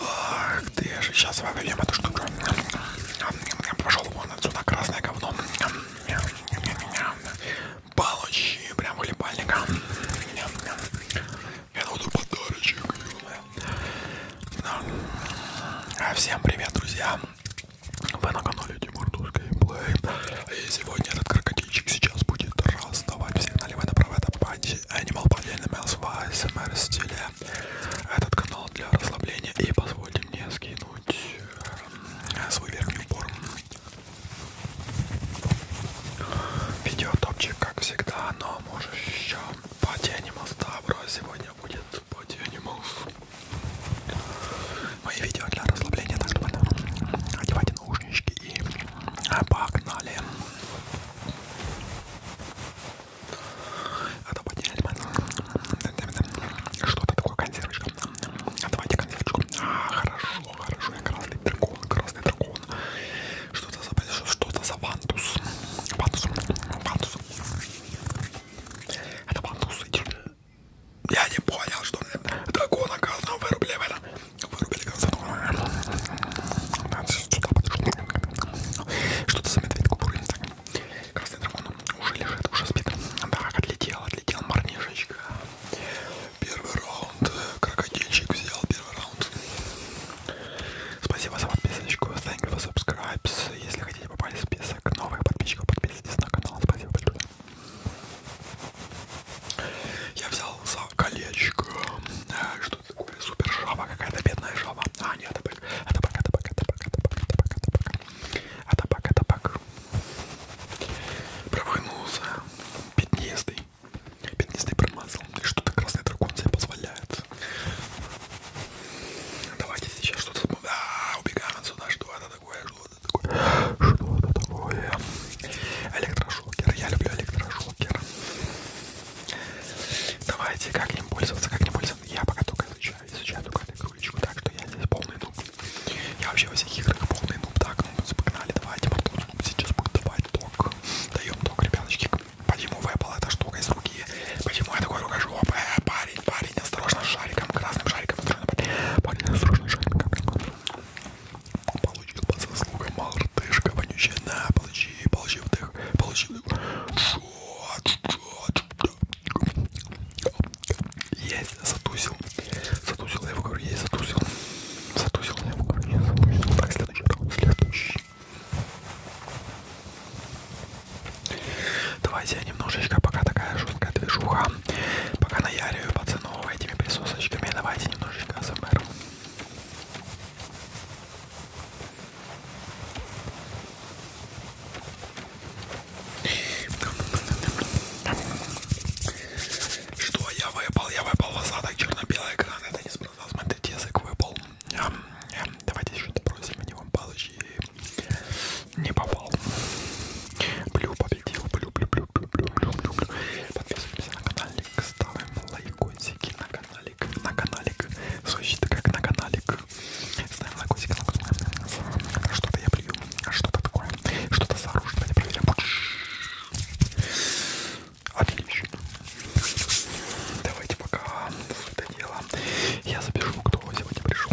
Ах ты же, сейчас свою лемотушку. Пошел вон отсюда, красное говно. Получи прям хлебальника. Это буду подарочек. А, всем привет, друзья. Вы на канале Тимур Тушкин Плей. И сегодня этот крокодильчик сейчас будет расставать всех налево и направо. Это Animal Planet Mouse в ASMR стиле. Этот канал для расслабления. И позвольте мне скинуть эм, свой верхний упор. Видео топчик, как всегда, но может еще Пати Animals. Да, бро, сегодня будет Пати Animals. Мои видео для расслабления, так что одевайте наушнички и погнали. А то потеряли мы. Что-то такое, консервочка. Давайте консервочку. А, хорошо, хорошо. Я красный дракон, красный дракон. Что-то за, что-то за вантус. Вантус, вантус. Это вантус. Я не понял, что дракон, оказывается, вырубливает вырубили концерт. Надо что-то Что-то за медведку бурым. Красный дракон уже лежит, уже спит. Так, отлетел, отлетел марнишечка. Первый раунд. Крокодильчик взял первый раунд. Спасибо за подписочку. Thank you for subscribes. Если хотите попасть в список новых подписчиков, подписывайтесь на канал. Спасибо большое. Я взял за колечко. Э, что это такое? Супер жаба, какая-то бедная жаба. А, нет, это бак, это бак, это бак, это бак, это бак, это бак, это бак. Это бак, это бак. Промахнулся. Э, пятнистый. Пятнистый промазал. И что-то красный дракон себе позволяет. Давайте сейчас что-то... А, убегаем отсюда. Что это такое? Что это такое? Что это такое? Электрошок электрошокер. Я люблю электрошокер. Давайте, как им пользоваться, как не пользоваться. Я пока только изучаю, изучаю только эту игрулечку, так что я здесь полный нуб. Я вообще во всех играх полный нуб. Так, ну, погнали, давайте, потом сейчас будет давать ток. Даем ток, ребяточки. Почему выпала эта штука из руки? Почему я такой рукожоп? Э, парень, парень, осторожно с шариком, красным шариком. Осторожно, парень, парень осторожно с шариком. Получил по заслугам мартышка вонючая. На, получи, получи вдых, получи вдых. Есть, затусил. Затусил, я его говорю, есть, затусил. Затусил, я его говорю, есть, затусил. Так, следующий раунд, следующий. Давайте я немножечко, пока такая жесткая движуха, пока наяриваю, пацаны снова этими присосочками. Давайте немножечко АСМР. Что я выпал? Я выпал в осадок черно-белый экран. Это не спроса. Смотрите, язык выпал. Давайте еще добросим в него палочки. Не попал. Блю, следил, люблю-люблю-люблю-люблю. Подписываемся на каналик, ставим лайкосики на каналик, на каналик. Существует как на каналик. Ставим лайкосики на каналик. Что-то я плюю, что-то такое, что-то за оружие, давайте проверим. Отлично. Давайте пока это дело. Я запишу, кто сегодня пришел.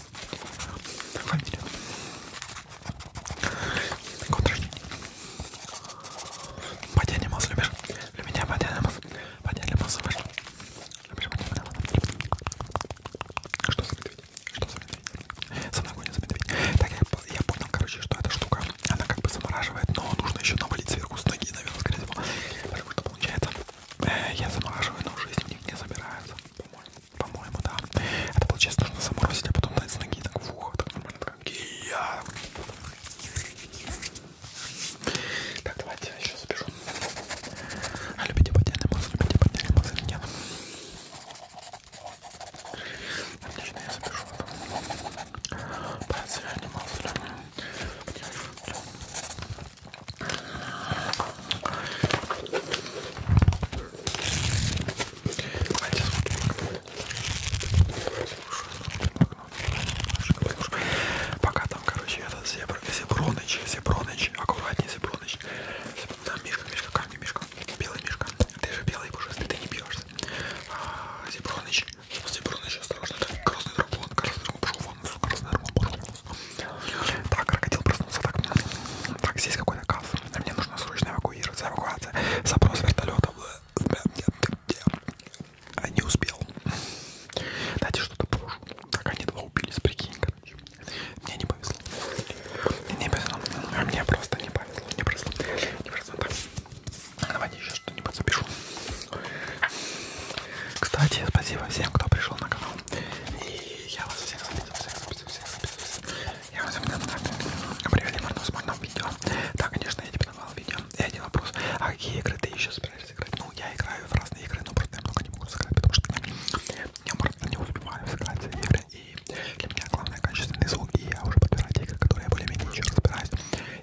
Фамилия. Год рождения. Батя Лимас любишь? Для меня Батя Лимас. Батя Лимас любишь? Любишь Батя Лимас? Что за медведь? Что за медведь? Самогонец медведь. Так, я, я понял, короче, что эта штука, она как бы замораживает, но нужно еще навалить сверху с ноги, наверное, скорее всего. Потому что получается, э, я замораживаю, но уже из них не собираются, по-моему. По-моему, да. Это было честно, нужно заморозить, а потом дать с ноги так в ухо. Так нормально, так я. Так, давайте я еще запишу. А любите потерянный мозг, любите потерянный мозг или нет? Отлично, я запишу это. Потерянный мозг. Пока там, короче, этот зебр, зеброныч, зеброныч, аккуратнее зеброныч. Там мишка, мишка, камни, мишка, белый мишка. Ты же белый пушистый, ты не бьешься. А, зеброныч, зеброныч, осторожно, это красный дракон, красный дракон, пошел вон, красный дракон, пошел. Так, крокодил проснулся так. Так, здесь какой наказ. А мне нужно срочно эвакуироваться. Эвакуация. Запрос вертолетов. А, не успел. Дайте что-то брошу. Так они два убились, прикинь, короче. Мне не повезло. Мне не повезло. А мне просто не повезло. Не повезло. Не повезло. Так. Давайте еще что-нибудь запишу. Кстати, спасибо всем, кто пришел на канал. И я вас всех записываю, всех записываю, всех записываю. Я вас всегда привели в одном видео. Да, конечно, я тебе давал видео. И один вопрос. А какие игры ты еще собираешься играть? Ну, я играю в разные игры, но просто я много не могу сыграть, потому что я просто не успеваю сыграть игры. И для меня главное качественный звук. И я уже подбираю те игры, которые я более-менее еще разбираюсь.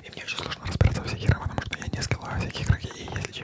И мне очень сложно разбираться в всех играх, потому что я не скиллаю всякие игроки. И если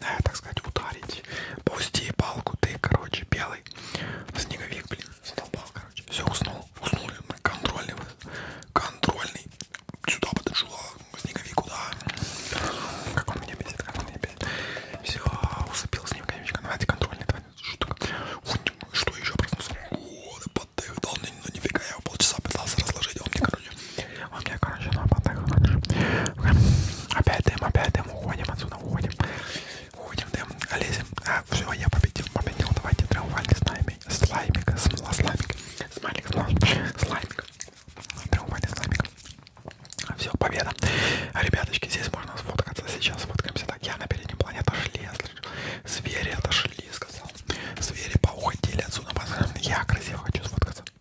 Э, так сказать, ударить. Пусти палку, ты, короче, белый. Снеговик, блин, задолбал, короче. Все, уснул. Уснули. Мы контрольный. Контрольный. Сюда подошла. Снеговик, куда? Как он меня бесит, как он меня бесит. Все, усыпил снеговичка. Ну, давайте контрольный, давайте. Что, что еще проснулся? О, да поддых, да, ну нифига, я его полчаса пытался разложить, а он мне, короче, он мне, короче, на потах, короче. Опять дым, опять дым, уходим отсюда, уходим. Уходим, дым, лезем. А, все, я победил, победил. Давайте триумфальный слаймик, слаймик, смола, слаймик, смайлик, слаймик, триумфальный слаймик. Все, победа. Ребяточки, здесь можно сфоткаться. Сейчас сфоткаемся. Так, я на переднем плане отошли, я слышу. Звери отошли, сказал. Звери поуходили отсюда. Я красиво хочу сфоткаться.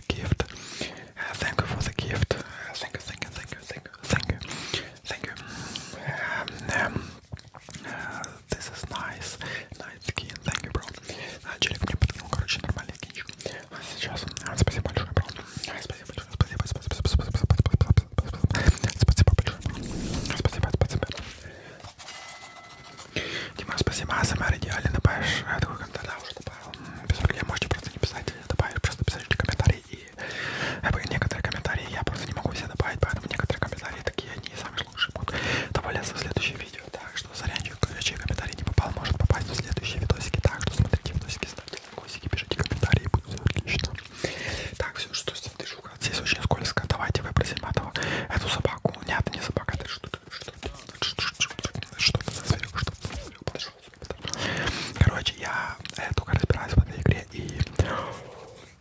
the gift. Uh, thank you for the gift. Uh, thank you, thank you, thank you, thank you, thank you, thank you. Um, um, uh, this is nice, nice skin. Thank you, bro. Челик мне подкинул, короче, нормальный кинчик. А сейчас, спасибо большое, бро. Спасибо большое, спасибо, спасибо, спасибо, спасибо, спасибо, спасибо, спасибо большое. Спасибо, спасибо. Дима, спасибо, АСМР идеально добавишь а, такой контент, да, уже добавил, без проблем, можете просто не писать, э, добавишь, просто писать комментарии, и э, некоторые комментарии я просто не могу все добавить, поэтому некоторые комментарии такие, они самые лучшие будут добавляться в следующее видео, так что зарядчик, чей комментарий не попал, может попасть в следующие видосики, так что смотрите видосики, ставьте лайкосики, пишите комментарии, будет все отлично. Так, все, что здесь движуха, здесь очень скользко, давайте выбросим этого, эту собаку, нет, не собака, это штука. Короче, я только разбираюсь в этой игре и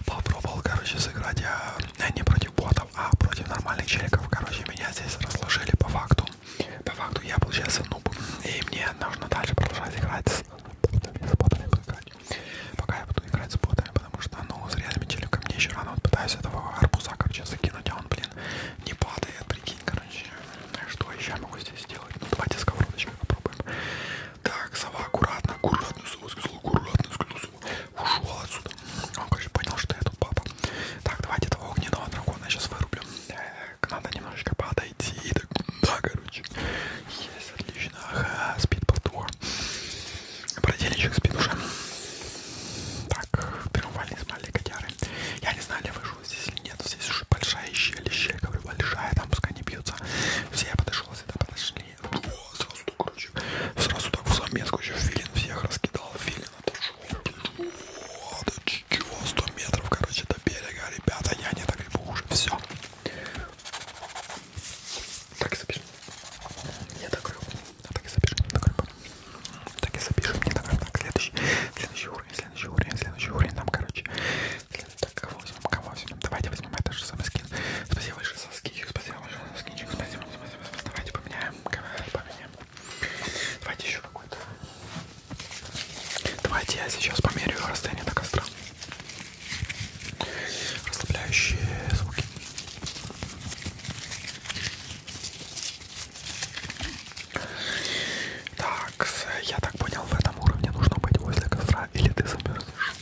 попробовал, короче, сыграть я э, э, не против ботов, а против нормальных челиков. Короче, меня здесь разложили по факту. По факту я получается нуб, и мне нужно дальше продолжать играть с ботами, с ботами играть. Пока я буду играть с ботами, потому что, ну, с реальными челиками мне еще рано. Вот пытаюсь этого арбуза, короче, закинуть, а он, блин, не падает, прикинь, короче. А что еще я могу здесь сделать? Ну, давайте сковородочкой попробуем. Так, сова, аккуратно, аккуратно, сова сказала, аккуратно, сказала, ушел отсюда. Он, короче, понял, что я тут папа. Так, давайте этого огненного дракона я сейчас вырублю. Так, надо немножечко подойти. Так, да, короче. Есть, отлично. Ага, спит повтор. Брательничек спит уже. Так, триумфальный смайлик котяры. Я не знаю, ли выжил здесь или нет. Здесь уже большая щель, щель, говорю, большая, там пускай не бьются. Все, я подошел, сюда подошли. О, сразу так, короче, сразу так в замеску еще филин всех раскидал. Филин отошел. «Ну вот, чего, 100 метров, короче, до берега, ребята, я не догребу уже, все. Так, забежим. Я так а так и запишем, не так Так и запишем, не так Так, следующий, следующий уровень, следующий уровень, следующий уровень нам, короче. Так, кого возьмем, кого возьмем? Давайте возьмем этот же самый скин. Спасибо большое за скинчик, спасибо большое за скинчик, спасибо, спасибо, спасибо. Давайте поменяем, поменяем. Давайте еще какой-то. Давайте я сейчас померяю расстояние до костра. Расслабляющие звуки. Так, я так понял, в этом уровне нужно быть возле костра, или ты замерзнешь,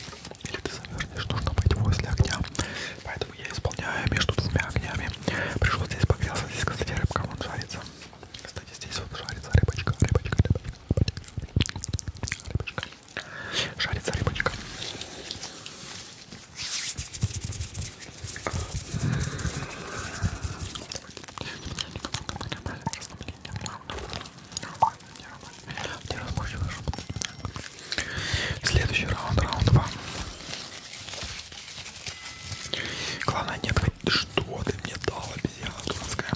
или ты замерзнешь, нужно быть возле огня. Поэтому я исполняю между двумя огнями. Пришел здесь, погрелся, здесь кстати рыбка, он жарится. Кстати, здесь вот жарится рыбочка, рыбочка, рыбочка, рыбочка. рыбочка. Шарится рыбочка. Следующий раунд, раунд 2. Главное не говорить, что ты мне дал, обезьяна дурацкая.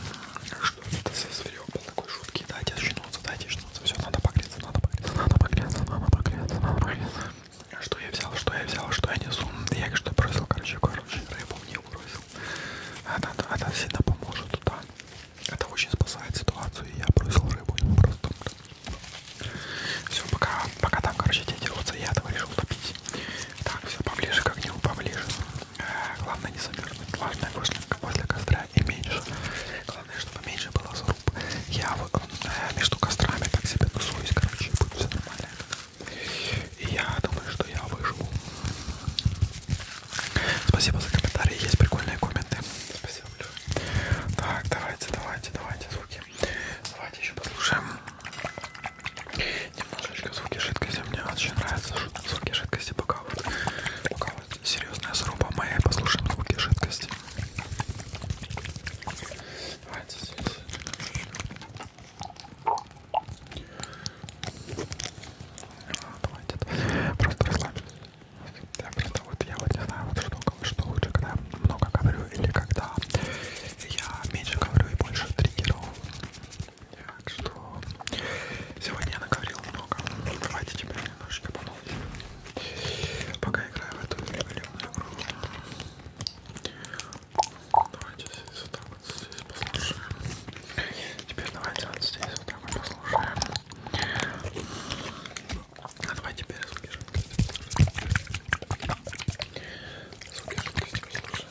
Что это за зверек был такой шутки? Дайте очнуться, дайте очнуться погреться, все, надо погреться, надо погреться, надо погреться, надо погреться, надо погреться. Что я взял, что я взял, что я несу? Я что бросил, короче, короче, рыбу мне бросил. Она, она всегда поможет, да. Это очень спасает ситуацию, и я бросил рыбу, ему просто... Все, пока, пока там, короче, те дерутся, я этого решил топить. Так, все, поближе к огню, поближе. Э, главное не замерзнуть, главное вышли возле костра и меньше главное, что поменьше было заруб. Я вот э, между кострами так себе тусуюсь, короче, будет все нормально. И я думаю, что я выживу. Спасибо за комментарии, есть прикольные комменты. Спасибо большое. Так, давайте, давайте, давайте звуки. Давайте еще послушаем. Немножечко звуки жидкости. Мне очень нравятся звуки жидкости, пока вот, пока вот серьезная сруба моей послушаем звуки жидкости. Давайте здесь. А, давайте просто расслабимся. Я просто вот я вот не знаю, вот что кого что лучше, когда я много говорю или когда я меньше говорю и больше триггеров. Так что сегодня я наговорил много. Давайте теперь немножечко помолчу, пока играю в эту революционную игру. Давайте здесь вот так вот здесь послушаем. Теперь давайте вот здесь вот так вот послушаем. А давай теперь звуки жидкости. Звуки жидкости послушаем.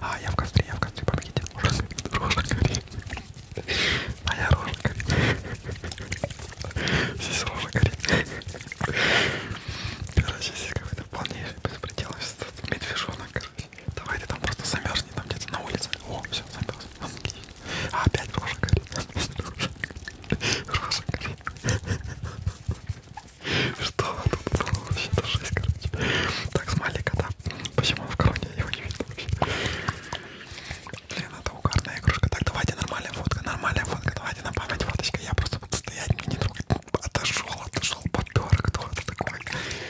А, я в костре, я в костре, помогите. Рожа горит. Моя а рожа горит. Здесь рожа горит. Короче, здесь какой-то полнейший беспредел. Медвежонок, короче. Давай ты там просто замерзни, там где-то на улице. О, все, замерз. А, опять рожа горит. Рожа горит. Что? Тут было вообще то жесть, короче. Так, смайлик, да? Почему он в короне? Его не видно вообще. Блин, это угарная игрушка. Так, давайте нормальная фотка, нормальная фотка. Давайте на память фоточка. Я просто буду стоять, мне не трогать. Отошел, отошел, попер. Кто это такой?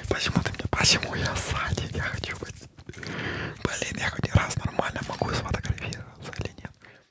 Почему ты мне? Почему я сзади? Я хочу быть. Блин, я хоть раз нормально могу сфотографироваться или нет.